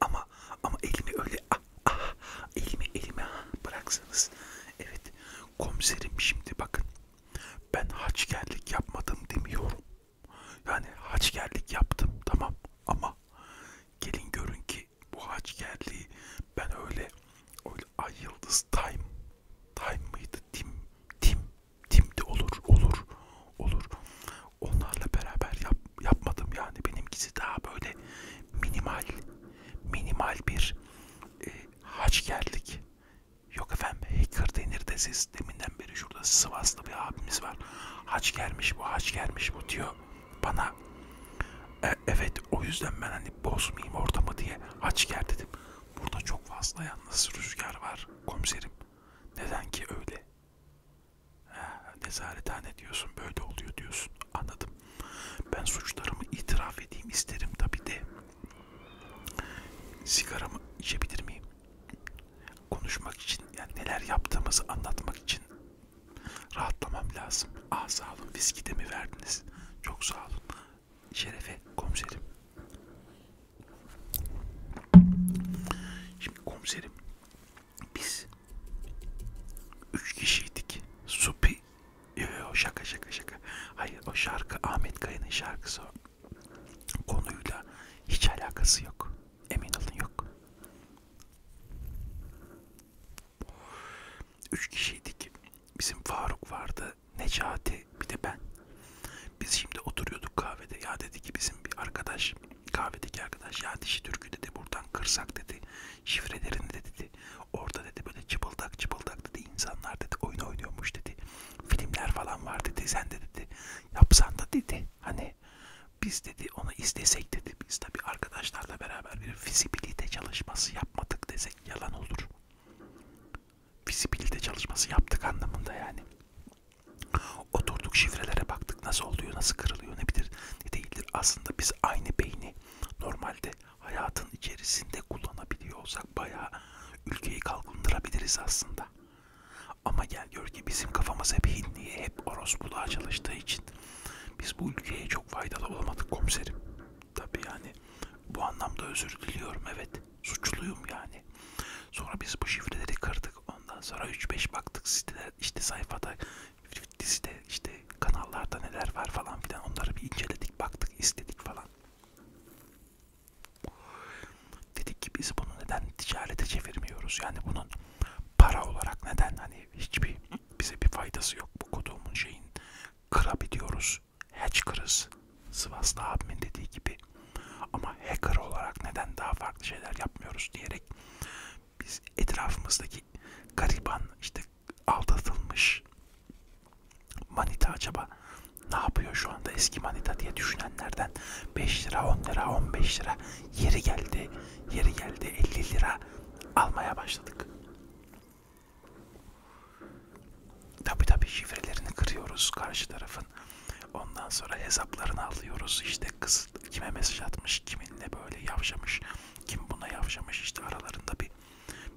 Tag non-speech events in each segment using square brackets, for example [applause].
Ama ama elimi öyle ah, ah, elimi elimi ah, bıraksanız. Evet komiserim şimdi bakın ben haçkerlik yapmadım demiyorum. Yani haçkerlik yaptım tamam ama gelin görün ki bu haçkerliği ben öyle öyle ay yıldız time time mıydı tim tim timdi olur olur olur onlarla beraber yap, yapmadım yani benimkisi daha böyle minimal minimal bir e, haçkerlik yok efendim hacker denir de siz deminden beri şurada Sivaslı bir abimiz var haçkermiş bu haçkermiş bu diyor bana e, evet o yüzden ben hani bozmayayım ortamı diye haçker dedim burada çok fazla yalnız rüzgar var komiserim neden ki öyle nezarethane diyorsun böyle oluyor diyorsun anladım ben suçlarımı itiraf edeyim isterim tabi de sigaramı içebilir miyim konuşmak için yani neler yaptığımızı anlatmak için rahatlamam lazım ah sağ olun viski de mi verdiniz çok sağ olun şerefe komiserim şimdi komiserim biz üç kişiydik. Supi yo, e, yo, şaka şaka şaka. Hayır o şarkı Ahmet Kaya'nın şarkısı o. Konuyla hiç alakası yok. Emin olun yok. Üç kişiydik. Bizim Faruk vardı, Necati bir de ben. Biz şimdi oturuyorduk kahvede. Ya dedi ki bizim bir arkadaş Kahvedeki arkadaş ya dişi türkü dedi buradan kırsak dedi. Şifrelerini de dedi. Orada dedi böyle çıpıldak çıpıldak dedi. insanlar dedi oyun oynuyormuş dedi. Filmler falan var dedi. Sen de dedi yapsan da dedi. Hani biz dedi onu istesek dedi. Biz tabi arkadaşlarla beraber bir fizibilite çalışması yapmadık desek yalan olur. Fizibilite çalışması yaptık anlamında yani. Oturduk şifrelere baktık nasıl oluyor, nasıl kırılıyor, ne bilir ne değildir. Aslında biz aynı beyni normalde hayatın içerisinde kullanabiliyor olsak bayağı ülkeyi kalkındırabiliriz aslında. Ama gel gör ki bizim kafamız hep hinliye, hep orospuluğa çalıştığı için biz bu ülkeye çok faydalı olamadık komiserim. Tabi yani bu anlamda özür diliyorum evet suçluyum yani. Sonra biz bu şifreleri kırdık ondan sonra 3-5 baktık sitelere işte sayfada, dizide, işte kanallarda neler var falan filan onları bir inceledik, baktık, istedik falan. Dedik ki biz bunu neden ticarete çevirmiyoruz? Yani bunun para olarak neden hani hiçbir bize bir faydası yok bu koduğumun şeyin. Kırabiliyoruz, hatch kırız. Sivaslı abimin dediği gibi. Ama hacker olarak neden daha farklı şeyler yapmıyoruz diyerek biz etrafımızdaki gariban işte aldatılmış manita acaba ne yapıyor şu anda eski manita diye düşünenlerden 5 lira 10 lira 15 lira yeri geldi yeri geldi 50 lira almaya başladık. Tabi tabi şifrelerini kırıyoruz karşı tarafın Ondan sonra hesaplarını alıyoruz. İşte kız kime mesaj atmış, kiminle böyle yavşamış, kim buna yavşamış işte aralarında bir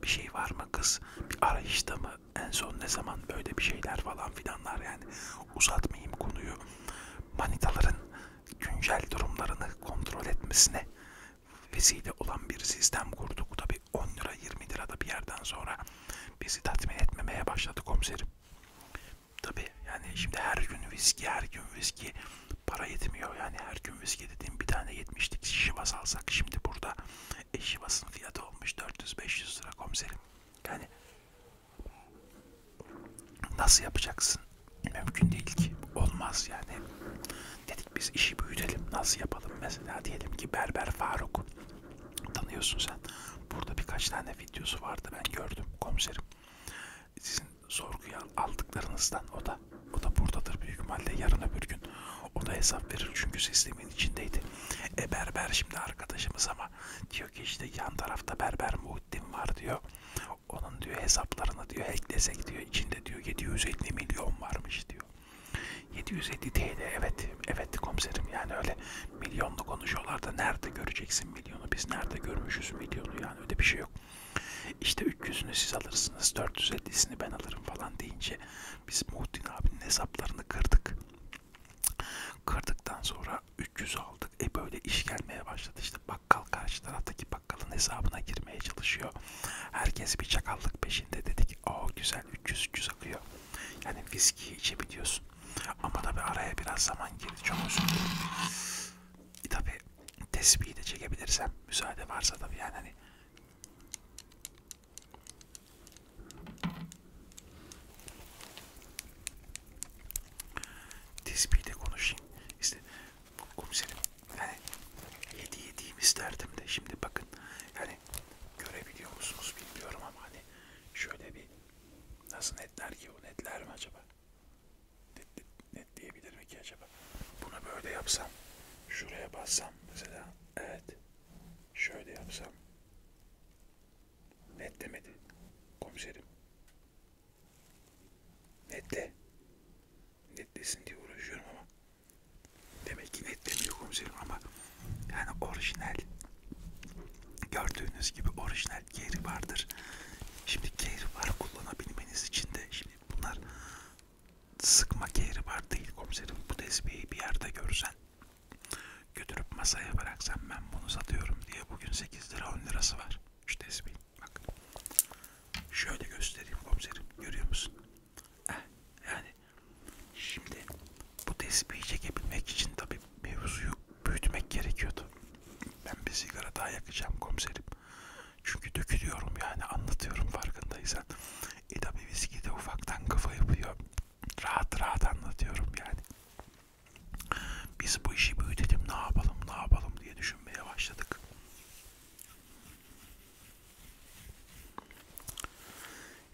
bir şey var mı kız? Bir arayışta mı? En son ne zaman böyle bir şeyler falan filanlar yani uzatmayayım konuyu. Manitaların güncel durumlarını kontrol etmesine vesile olan bir sistem kurduk. Tabi 10 lira 20 lirada bir yerden sonra bizi tatmin etmemeye başladı komiserim. Tabi yani şimdi her gün viski, her gün viski para yetmiyor. Yani her gün viski dediğim bir tane yetmişlik şivas alsak şimdi burada e, şivasın fiyatı olmuş 400-500 lira komiserim. Yani nasıl yapacaksın? Mümkün değil ki. Olmaz yani. Dedik biz işi büyütelim. Nasıl yapalım? Mesela diyelim ki Berber Faruk tanıyorsun sen. Burada birkaç tane videosu vardı ben gördüm komiserim. Sizin sorguya aldıklarınızdan o da o da buradadır büyük ihtimalle yarın öbür gün o da hesap verir çünkü sistemin içindeydi. E berber şimdi arkadaşımız ama diyor ki işte yan tarafta berber Muhittin var diyor. Onun diyor hesaplarını diyor hacklesek diyor içinde diyor 750 milyon varmış diyor. 750 TL evet evet komiserim yani öyle Milyonla konuşuyorlar da nerede göreceksin milyonu? Biz nerede görmüşüz milyonu yani öyle bir şey yok. İşte 300'ünü siz alırsınız, 450'sini ben alırım falan deyince biz Muhittin abinin hesaplarını kırdık. Kırdıktan sonra 300 aldık. E böyle iş gelmeye başladı. İşte bakkal karşı taraftaki bakkalın hesabına girmeye çalışıyor. Herkes bir çakallık peşinde dedik. Aa güzel 300 300 akıyor. Yani viski içebiliyorsun. Ama tabi araya biraz zaman girdi. Çok özür dilerim. E tabi tesbihi de çekebilirsem müsaade varsa tabi yani hani tesbihi de konuşayım. İşte komiserim yani yedi yediğimi isterdim de şimdi bakın yani görebiliyor musunuz bilmiyorum ama hani şöyle bir Nasıl netler ki bu? Netler mi acaba? Net, net, net diyebilir mi ki acaba? Bunu böyle yapsam. Şuraya bassam mesela. Evet. Şöyle yapsam. Net demedi. Komiserim. Netle. Netlesin diye uğraşıyorum ama. Demek ki net demiyor komiserim ama. Yani orijinal. Gördüğünüz gibi orijinal özel geri vardır. Şimdi geri var kullanabilmeniz için de şimdi bunlar sıkma geri var değil komiserim. Bu tesbihi bir yerde görsen götürüp masaya bıraksan ben bunu satıyorum diye bugün 8 lira 10 lirası var. Şu tesbih bak. Şöyle göstereyim komiserim. Görüyor musun? Heh, yani şimdi bu tesbihi çekebilmek için tabi mevzuyu büyütmek gerekiyordu. Ben bir sigara daha yakacağım komiserim. Çünkü dökülüyorum yani anlatıyorum farkındaysan. E tabi viski de ufaktan kafa yapıyor. Rahat rahat anlatıyorum yani. Biz bu işi büyütelim ne yapalım ne yapalım diye düşünmeye başladık.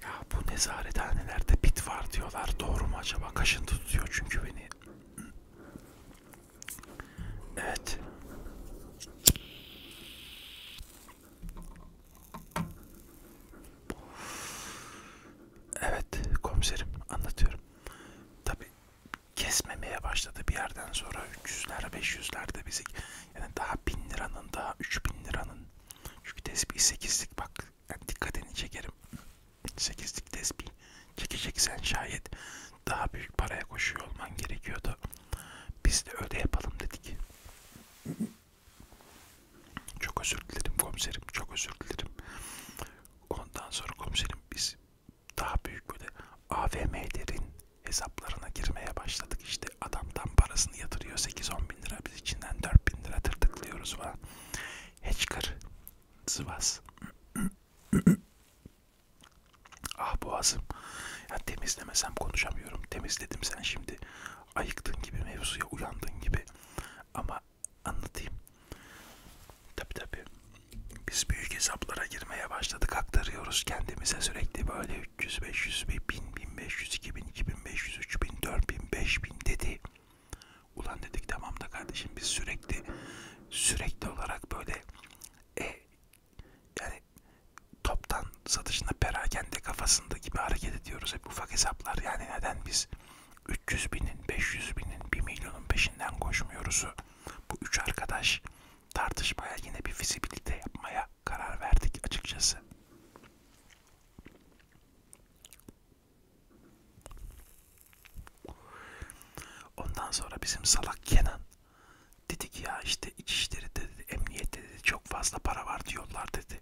Ya bu nezarethanelerde bit var diyorlar. Doğru mu acaba? Kaşıntı tutuyor çünkü beni. Evet. Evet komiserim anlatıyorum. Tabi kesmemeye başladı bir yerden sonra 300'ler 500'lerde bizi yani daha 1000 liranın daha 3000 liranın çünkü tespih 8'lik bak yani dikkatini çekerim. Sekizlik tesbih çekeceksen şayet daha büyük paraya koşuyor olman gerekiyordu. Biz de öyle yapalım dedik. Çok özür dilerim komiserim, çok özür dilerim. Ondan sonra komiserim biz daha büyük böyle AVM'lerin hesaplarına girmeye başladık. İşte adamdan parasını yatırıyor 8-10 bin lira, biz içinden 4 bin lira tırtıklıyoruz falan. Heçkır, Sivas. [clears throat] ah boğazım. Ya temizlemesem konuşamıyorum. Temizledim sen şimdi. Ayıktın gibi mevzuya uyandın gibi. Ama anlatayım. Tabi tabi. Biz büyük hesaplara girmeye başladık. Aktarıyoruz kendimize sürekli böyle 300, 500, 1000, 1500, 2000, 2500, 3000, 4000, 5000 dedi. Ulan dedik tamam da kardeşim biz sürekli sürekli olarak böyle e, yani toptan satışına perakende kafasında gibi hareket ediyoruz hep ufak hesaplar yani neden biz 300 binin 500 binin 1 milyonun peşinden koşmuyoruzu bu üç arkadaş tartışmaya yine bir fizibilite yapmaya karar verdik açıkçası Ondan sonra bizim salak Kenan dedi ki ya işte İçişleri dedi, emniyette dedi çok fazla para var diyorlar dedi.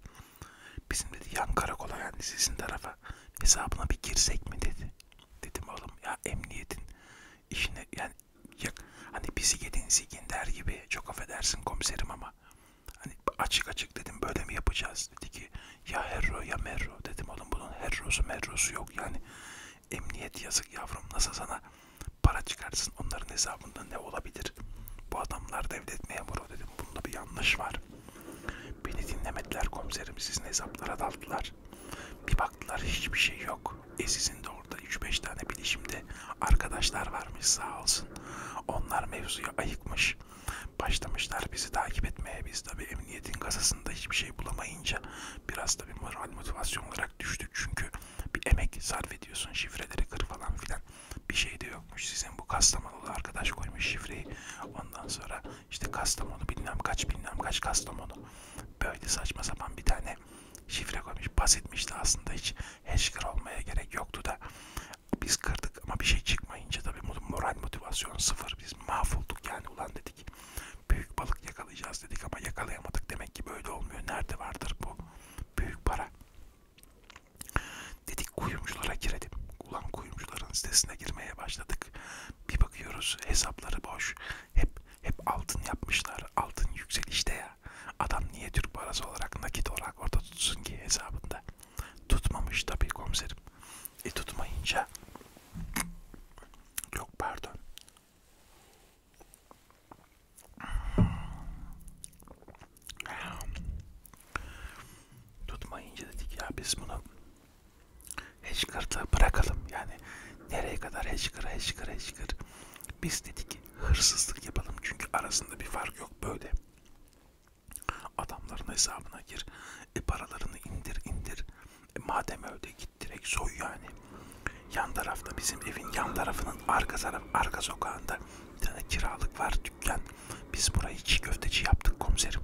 Bizim dedi yan karakola yani sizin tarafa hesabına bir girsek mi dedi. Dedim oğlum ya emniyetin işine yani ya, hani bizi yedin zikin der gibi çok affedersin komiserim ama Hani açık açık dedim böyle mi yapacağız? Dedi ki ya herro ya merro. Dedim oğlum bunun herrosu merrosu yok. Yani emniyet yazık yavrum nasıl sana para çıkarsın onların hesabında ne olabilir? Bu adamlar devlet memuru dedim. Bunda bir yanlış var. Beni dinlemediler komiserim sizin hesaplara daldılar. Bir baktılar hiçbir şey yok. E sizin de orada 3-5 tane bilişimde arkadaşlar varmış sağ olsun. Onlar mevzuya ayıkmış başlamışlar bizi takip etmeye. Biz tabi emniyetin kasasında hiçbir şey bulamayınca biraz tabi moral motivasyon olarak düştük. Çünkü bir emek sarf ediyorsun şifreleri kır falan filan. Bir şey de yokmuş. Sizin bu Kastamonulu arkadaş koymuş şifreyi. Ondan sonra işte Kastamonu bilmem kaç bilmem kaç Kastamonu. Böyle saçma sapan bir tane şifre koymuş. Basitmişti aslında hiç heşkır olmaya gerek yoktu da biz kırdık ama bir şey çıkmayınca tabii moral motivasyon sıfır. Biz mahvolduk yani ulan dedik. Büyük balık yakalayacağız dedik ama yakalayamadık. Demek ki böyle olmuyor. Nerede vardır bu büyük para? Dedik kuyumculara girelim. Ulan kuyumcuların sitesine girmeye başladık. Bir bakıyoruz hesapları boş. Hep hep altın yapmışlar. Altın yükselişte ya. Adam niye Türk parası olarak nakit olarak orada tutsun ki hesabında? Tutmamış tabii komiserim. E tutmayınca yok pardon. Tutmayınca dedik ya biz bunu Hedgehard'ı bırakalım. Yani nereye kadar Hedgehard, Hedgehard, Hedgehard. Biz dedik hırsızlık yapalım çünkü arasında bir fark yok böyle. Adamların hesabına gir. E paralarını indir indir. E madem öyle git direkt soy yani. Yan tarafta bizim evin yan tarafının arka taraf arka sokağında bir tane kiralık var dükkan. Biz burayı çiğ köfteci yaptık komiserim.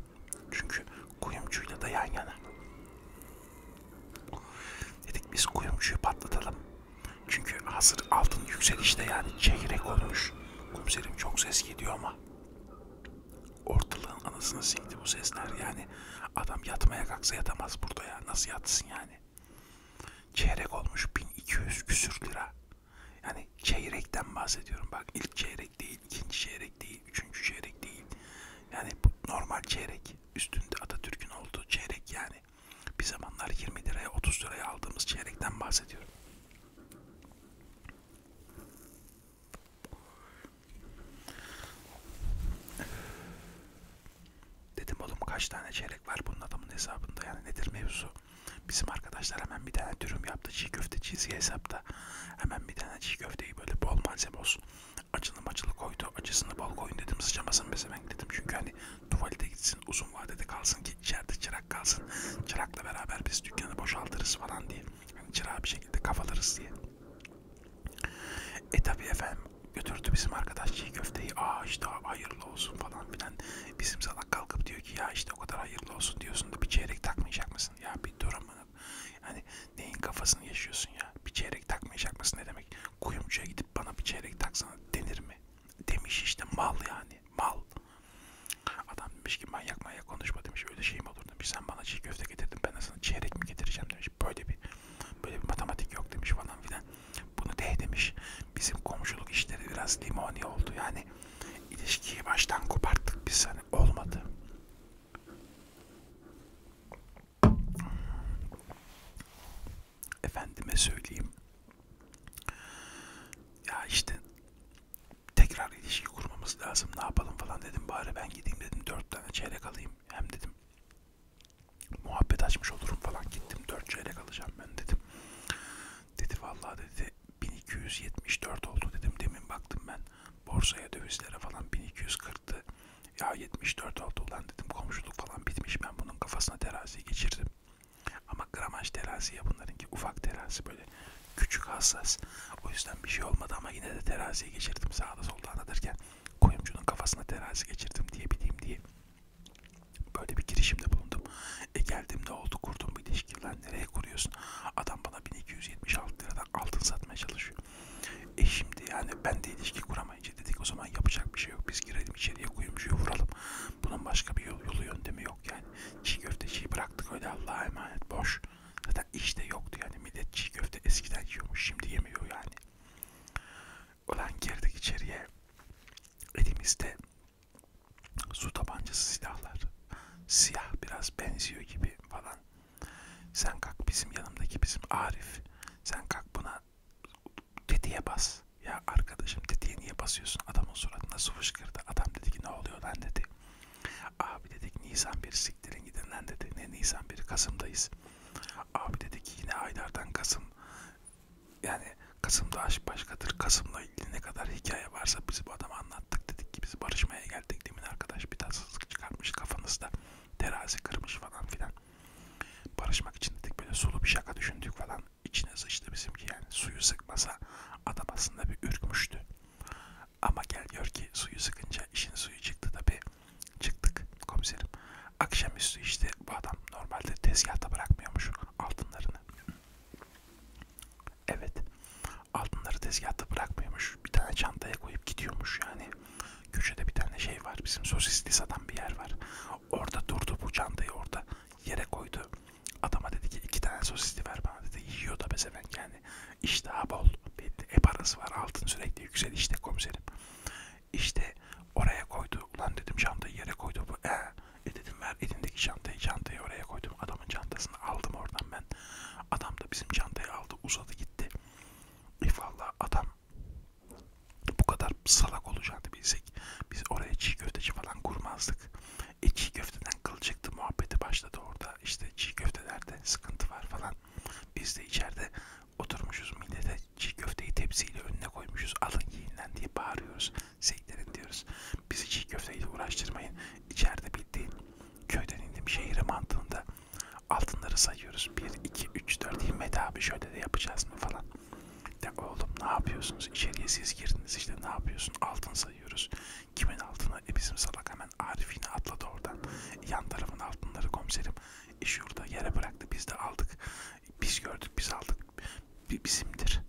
Çünkü kuyumcuyla da yan yana. Dedik biz kuyumcuyu patlatalım. Çünkü hazır altın yükselişte yani çeyrek olmuş. Komiserim çok ses gidiyor ama ortalığın anasını sikti bu sesler yani adam yatmaya kalksa yatamaz burada ya nasıl yatsın yani çeyrek olmuş 1200 küsür lira yani çeyrekten bahsediyorum bak ilk çeyrek değil ikinci çeyrek değil üçüncü çeyrek değil yani bu normal çeyrek üstünde Atatürk'ün olduğu çeyrek yani bir zamanlar 20 liraya 30 liraya aldığımız çeyrekten bahsediyorum Dedim oğlum kaç tane çeyrek var bunun adamın hesabında yani nedir mevzu? Bizim arkadaşlar hemen bir tane dürüm yaptı çiğ köfte çizgi hesapta. Hemen bir tane çiğ köfteyi böyle bol malzeme olsun. Acılı macılı koydu. Acısını bol koyun dedim sıcamasın bezemek dedim. Çünkü hani tuvalete gitsin uzun vadede kalsın ki içeride çırak çırak kalsın. Çırakla beraber biz dükkanı boşaltırız falan diye. Yani çırağı bir şekilde kafalarız diye. E tabi efendim götürdü bizim arkadaş çiğ köfteyi. Aa işte hayırlı olsun falan filan. Bizim salak kalkıp diyor ki ya işte o kadar hayırlı olsun diyorsun da bir çeyrek takmayacak mısın? Ya bir dur ama. Yani neyin kafasını yaşıyorsun ya? Bir çeyrek takmayacak mısın ne demek? Kuyumcuya gidip bana bir çeyrek taksana denir mi? Demiş işte mal yani mal. Adam demiş ki manyak manyak konuşma demiş öyle şey mi olur demiş sen bana çiğ köfte getirdin ben sana çeyrek mi getireceğim demiş böyle bir böyle bir matematik yok demiş falan filan. Bunu de demiş bizim komşuluk işleri biraz limoni oldu yani ilişkiyi baştan koparttık biz hani olmadı efendime söyleyeyim ya işte tekrar ilişki kurmamız lazım ne yapalım falan dedim bari ben gideyim dedim dört tane çeyrek alayım hem dedim muhabbet açmış olurum falan gittim dört çeyrek alacağım ben dedim dedi vallahi dedi 1274 oldu dedim demin baktım ben borsaya dövizlere falan 1240'tı ya 74 oldu ulan dedim komşuluk falan bitmiş ben bunun kafasına terazi geçirdim ama gramaj terazi ya bunlarınki ufak terazi böyle küçük hassas. O yüzden bir şey olmadı ama yine de teraziye geçirdim sağda solda anlatırken. Koyumcunun kafasına terazi geçirdim diye bileyim diye. Böyle bir girişimde bulundum. E geldim ne oldu kurdum bir ilişki. Lan nereye kuruyorsun? Adam bana 1276 liradan altın satmaya çalışıyor. E şimdi yani ben de ilişki kuramayınca dedik o zaman yapacak bir şey şey yok. Biz girelim içeriye kuyumcuyu vuralım. Bunun başka bir yolu, yolu yöntemi yok yani. Çiğ köfteciyi bıraktık öyle Allah'a emanet boş. Zaten işte yoktu yani. Millet çiğ köfte eskiden yiyormuş. Şimdi yemiyor yani. Ulan girdik içeriye. Elimizde su tabancası silahlar. Siyah biraz benziyor gibi falan. Sen kalk bizim yanımdaki bizim Arif. Sen kalk buna tetiğe bas. Ya arkadaşım tetiğe niye basıyorsun? Adamın suratına su fışkırdı. Adam dedi ki ne oluyor lan dedi. Abi dedik Nisan 1 siktirin gidin lan dedi. Ne Nisan 1 Kasım'dayız. Abi dedik yine aylardan Kasım. Yani Kasım'da aşk başkadır. Kasım'la ilgili ne kadar hikaye varsa biz bu adama anlattık. Dedik ki biz barışmaya geldik. Demin arkadaş bir tatsızlık çıkartmış kafanızda. Terazi kırmış falan filan. Barışmak için dedik böyle sulu bir şaka düşündük falan Adam içine sıçtı bizimki yani suyu sıkmasa adam aslında bir ürkmüştü. Ama gel gör ki suyu sıkınca işin suyu çıktı tabi. Çıktık komiserim. Akşamüstü işte bu adam normalde tezgahta bırakmıyormuş altınlarını. Evet. Altınları tezgahta bırakmıyormuş. Bir tane çantaya koyup gidiyormuş yani. Köşede bir tane şey var. Bizim sosisli satan bir yer var. Orada durdu bu çantayı orada yere koydu. Adama dedi ki iki tane sosisli ver bana dedi. Yiyor da mesela yani iştahı bol. E parası var altın sürekli yüksel işte komiserim. İşte oraya koydu. Ulan dedim çantayı yere koydu. Bu, e, e dedim ver elindeki çantayı çantayı oraya koydum. Adamın çantasını aldım oradan ben. Adam da bizim çantayı aldı uzadı gitti. E valla adam bu kadar salak olacağını bilsek biz oraya çiğ köfteci falan kurmazdık. E çiğ köfteden kılçıktı muhabbeti başladı orada. İşte çiğ köftelerde sıkıntı var falan. Biz de içeride oturmuşuz millete çiğ köfteyi tepsiyle önüne koymuşuz. Alın yiyinden diye bağırıyoruz. Seyitlerin diyoruz. Bizi çiğ köfteyle uğraştırmayın. İçeride bildiğin köyden indim şehire mantığında altınları sayıyoruz. 1, 2, 3, 4 Himmet abi şöyle de yapacağız mı falan. De oğlum ne yapıyorsunuz? İçeriye siz girdiniz işte ne yapıyorsun? Altın sayıyoruz. Kimin altını? E bizim salak hemen Arif'ini atladı oradan. Yan tarafın altınları komiserim. E şurada yere bıraktı biz de aldık. Biz gördük biz aldık. B bizimdir.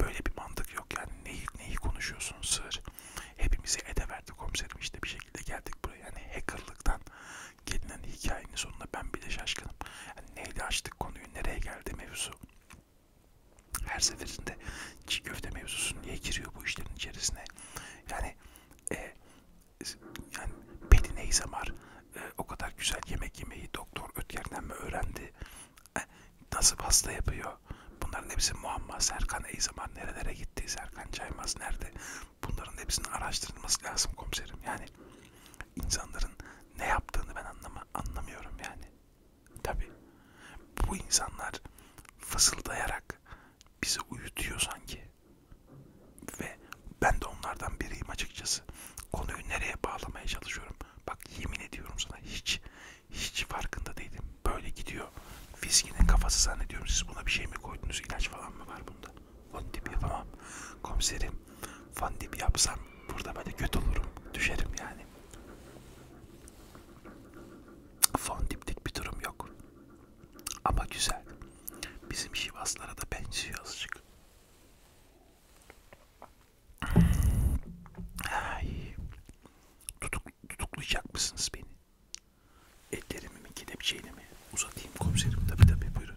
Böyle bir mantık yok yani neyi, neyi konuşuyorsun sığır. Hepimizi ede verdi komiserim işte bir şekilde geldik buraya. Yani hackerlıktan gelinen hikayenin sonunda ben bile şaşkınım neyle açtık konuyu, nereye geldi mevzu. Her seferinde çiğ köfte mevzusu niye giriyor bu işlerin içerisine? Yani e, yani Pelin Eyzamar e, o kadar güzel yemek yemeyi doktor Ötker'den mi öğrendi? E, nasıl pasta yapıyor? Bunların hepsi muamma. Serkan Eyzamar nerelere gitti? Serkan Caymaz nerede? Bunların hepsinin araştırılması lazım komiserim. Yani İnsanların ne yaptığını ben anlama, anlamıyorum yani. Tabi bu insanlar fısıldayarak bizi uyutuyor sanki. Ve ben de onlardan biriyim açıkçası. Konuyu nereye bağlamaya çalışıyorum. Bak yemin ediyorum sana hiç hiç farkında değilim. Böyle gidiyor. Fiskinin kafası zannediyorum. Siz buna bir şey mi koydunuz? İlaç falan mı var bunda? Fandip yapamam. Komiserim fandip yapsam burada böyle kötü olurum. Düşerim yani. Fandiplik bir durum yok. Ama güzel. Bizim şivaslara da benziyor azıcık. Ay. Tutuk, tutuklayacak mısınız beni? Ellerimi mi kelepçeyle mi? Uzatayım komiserim tabi tabi buyurun.